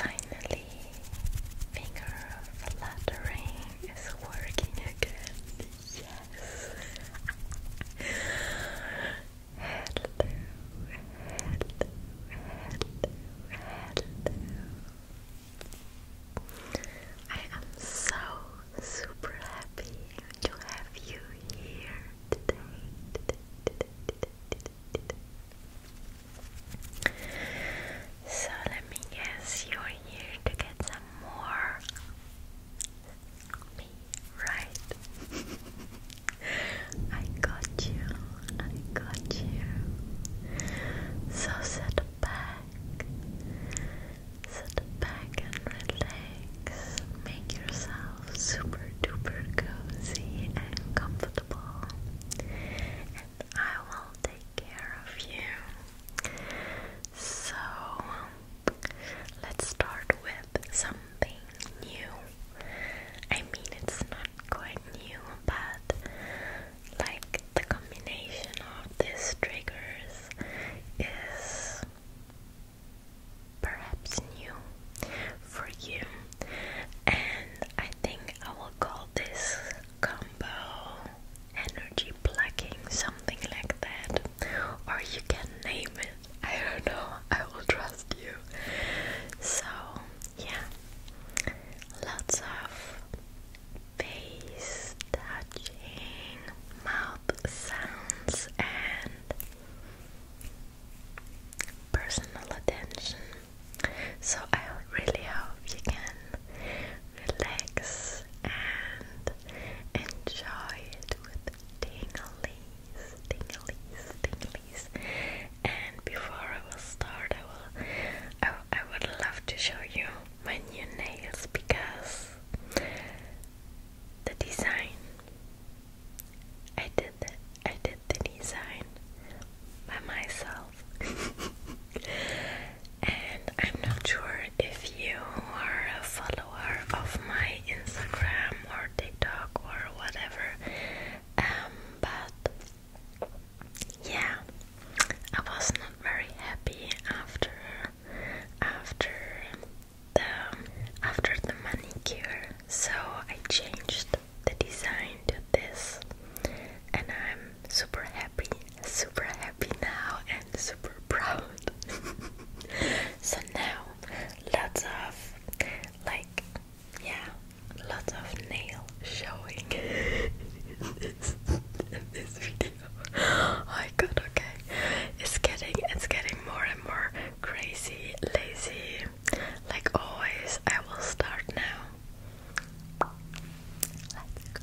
Finally, finger fluttering is working again. Yes. hello, hello, hello, hello. I am so super happy to have you here. So let me guess you're here to get some more me, right? I got you, I got you. So set back, set back and relax. Make yourself super duper cozy and comfortable, and I will take care of you. So, let's start with something new. I mean, it's not quite new, but like the combination of these triggers is perhaps new for you. And I think I will call this combo energy plucking, something like that. Or you can name it. I don't know. I will trust you. So, yeah. Lots of face touching, mouth sounds, and personal attention. So I really hope you can relax and enjoy it with tinglies, tinglies, tinglies. And before I will start, I will, I, I would love to show you my new nails because the design. I did that. I did the design by myself. and I'm not sure if you are a follower of my Instagram or TikTok or whatever. Um but yeah, I was not very happy after after the after the manicure so I changed the design to this and I'm super happy super happy now and super proud so now lots of like yeah lots of nail showing in, this, in this video oh my god okay it's getting it's getting more and more crazy, lazy, like always. I will start now. Let's go.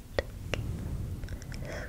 skip, skip, skip. Good.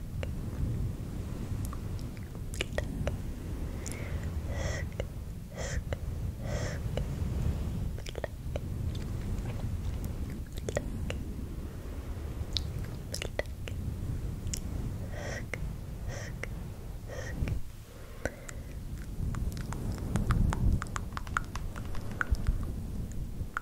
Get up. Sk, sk, sk. Pluck. Pluck. Pluck. Sk, sk, sk. Pluck.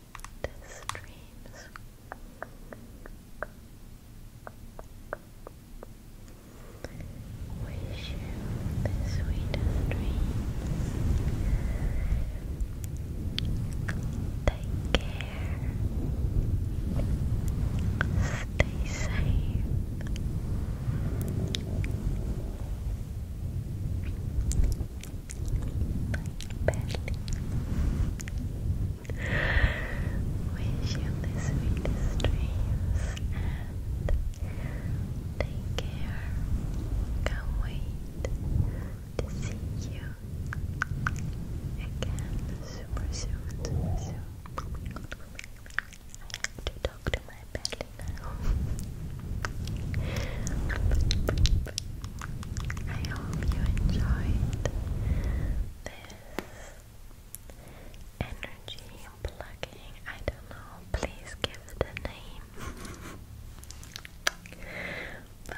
sweetest dreams. Wish you the sweetest dreams. Take care. Stay safe my belly. Wish you the sweetest dreams and take care. Can't wait to see you again super soon, soon. I have to talk to my belly. I hope you enjoyed this energy plugging. I don't know, please give it a name. Bye.